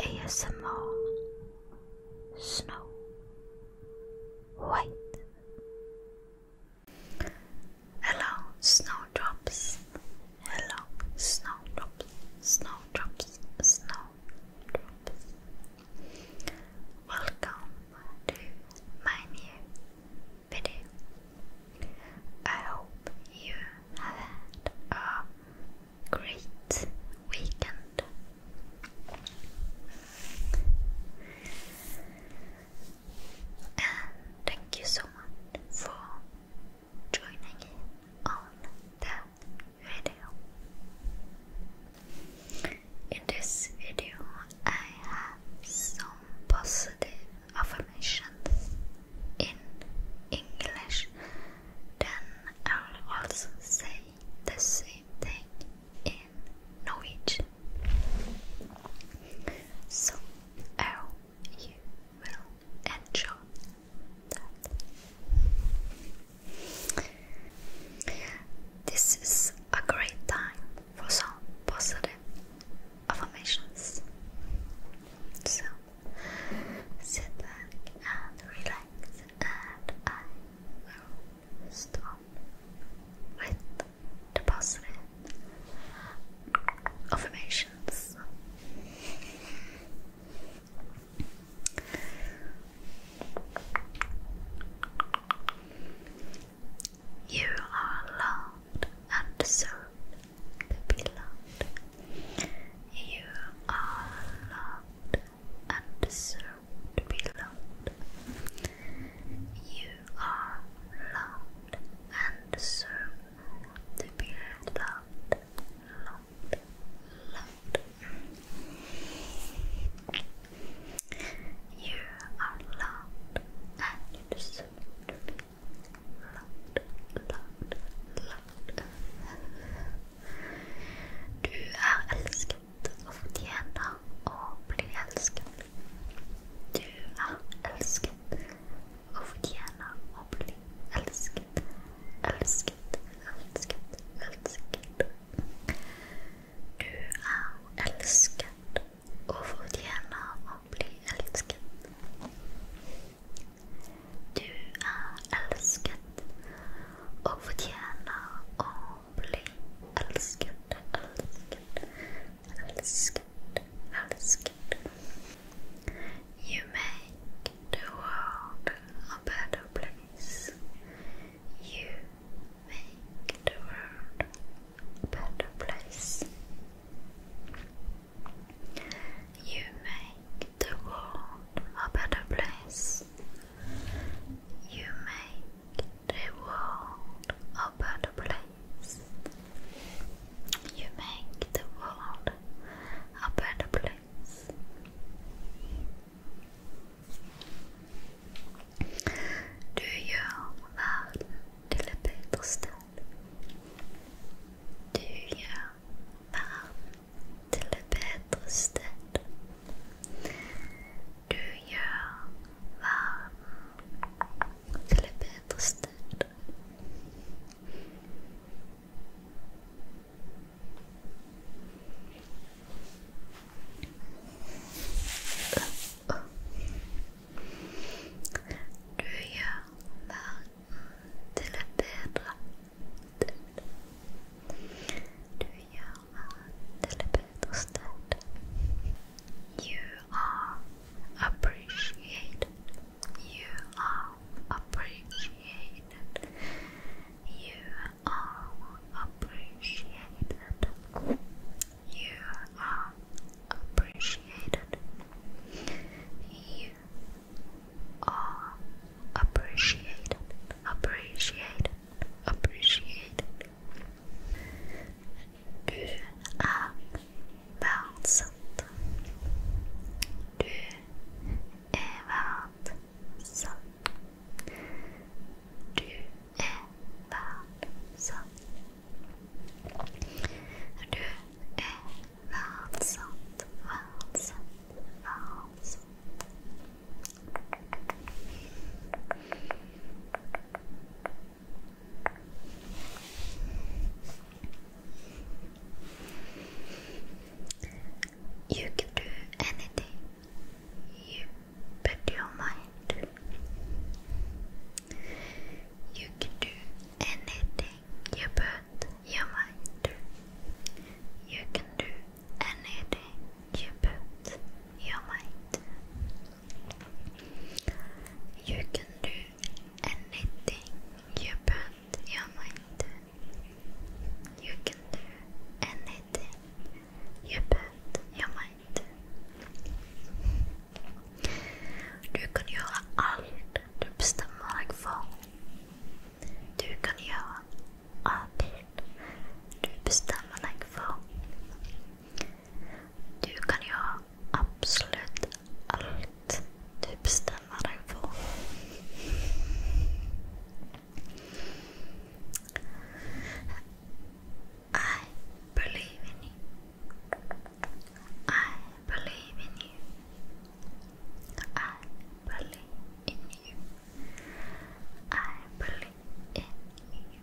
ASMR Snow White Hello snowdrops Hello snowdrops snowdrops snowdrops Welcome to my new video I hope you had a great weekend. And thank you so much for joining in on that video. In this video, I have some positive affirmations in English then I'll also say the same thing in Norwegian. So oh, you will enjoy that. This is a great time for some positive affirmations. So Sit back and relax, and I will start with the positive affirmations. You are loved and deserve to be loved. You are loved and deserve to be loved. You are loved and deserve to be loved, loved, loved. You are loved and you deserve to be loud, loud, loud. Du er elsket og fortjener å bli elsket. Du er elsket og fortjener å bli elsket. Elsket, elsket, elsket. Du er elsket og fortjener å bli elsket. Du er elsket og fortjener å bli elsket, elsket, elsket, elsket. You make the world a better place. You make the world a better place. You make the world a better place. You make the world a better place. You make the world a better place. Du gjør verden til det bedre do you til det bedre sted. Du gjør verden til et bedre sted. Du gjør you are appreciated. You are appreciated. You are appreciated. You are appreciated. You are appreciated, appreciated, appreciated. Du er verdsatt. Du er verdsatt. Du er verdsatt. Du You can do anything you put your mind to. You can do anything you put your mind to. You can do anything you put your mind to. You can do anything you put your mind to. You can do anything you put your mind to. Du kan göra allt du bestämmer dig för. Du kan göra allt du bestämmer dig för. Du kan göra absolut allt du bestämmer dig för. I believe in you. I believe in you. I believe in you. I believe in you.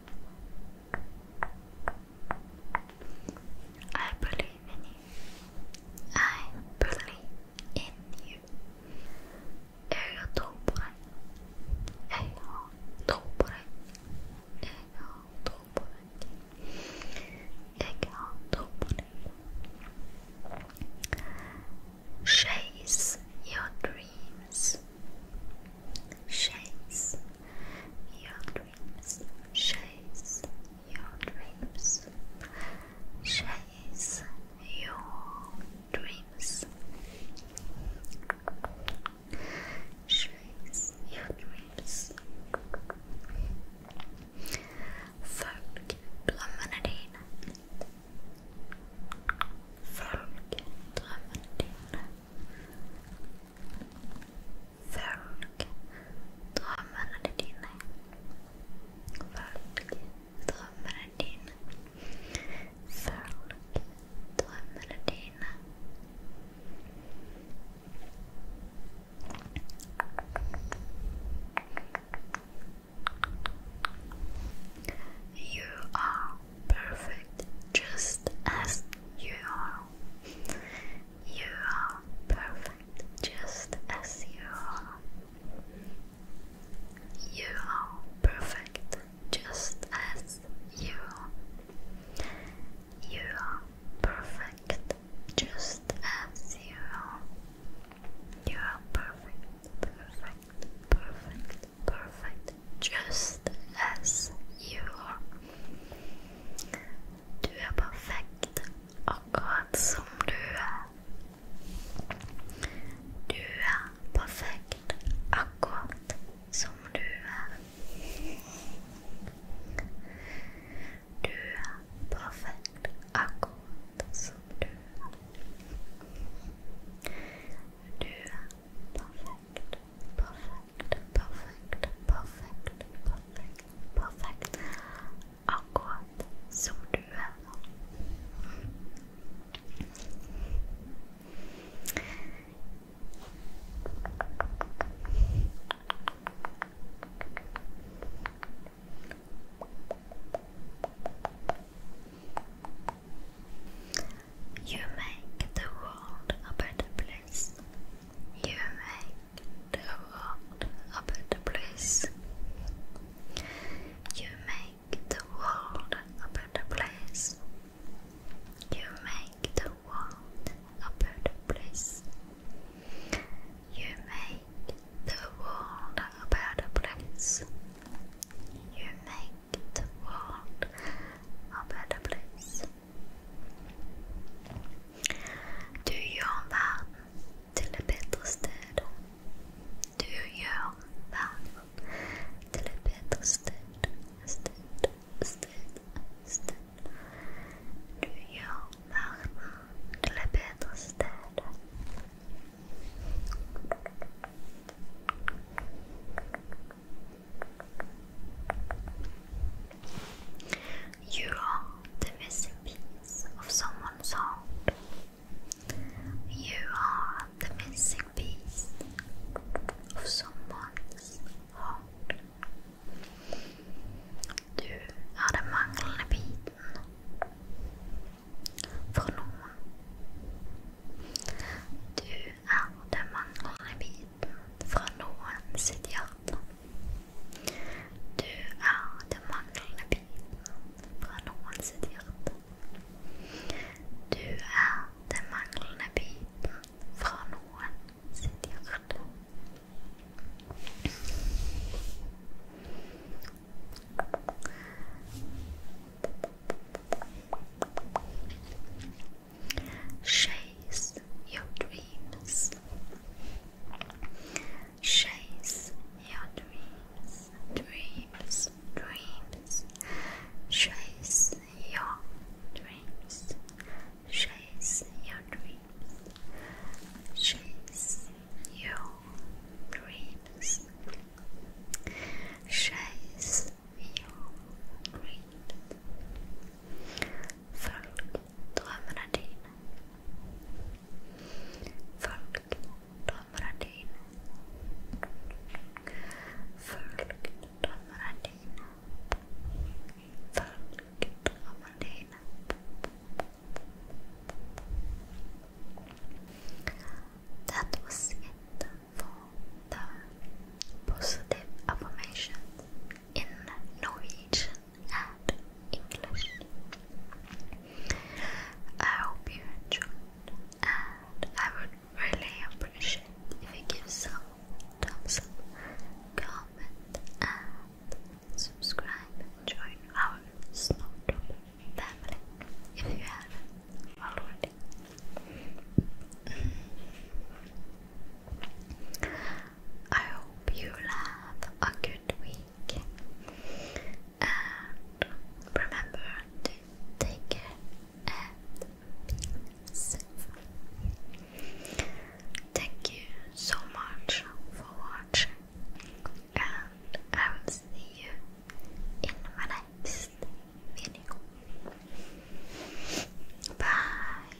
I believe in you. I believe in you. Eu tô por aí egg out topolek, egg out topolek. Chase your dreams. Chase your dreams. Chase your dreams. Chase your dreams shakes your dreams. Folk Drømmenetin. Folk drømmene Folk drømmene dine. Folk drømmene dine. Folk drømmene dine. You are perfect just as you are. You are perfect just as you are. You are perfect just as you are. You are perfect just as you are. You are perfect, perfect, perfect, perfect just as you are. Du er perfekt akkurat som du er. Du er perfekt akkurat som du er. Du perfekt akkurat som du Du är perfekt, perfekt, perfekt, perfekt, perfekt, akkurat som du är. Er. You make the world a better place. You make the world a better place. You make the world a better place. You make make the world a better place. You make the world a better place. You make the world a better place. Du gjør verden til et bedre sted. Du gjør verden til et bedre sted. sted. You are the missing piece of someone's heart. You are the missing piece of someone's hardt. Du er den manglende for noen. Du er den manglende biten fra noen sitt hjerte. Du er den manglende biten fra noen sitt hjerte. Du er den manglende biten Frauen sind die Ritter. Chase your dreams. Chase your dreams. Dreams, dreams. Chase your dreams. Chase your dreams. Chase your dreams. Chase your dreams. Följ drömmarna dina. Följ drömmarna dina. Följ drömmarna that was it for the positive affirmations in Norwegian and English. I hope you enjoyed, and I would really appreciate if you give some thumbs up, comment, and subscribe and join our Snowdrop family if you haven't already. I hope you have a good week and remember to take care Thank you so much for watching, and I will see you in my next video. Bye.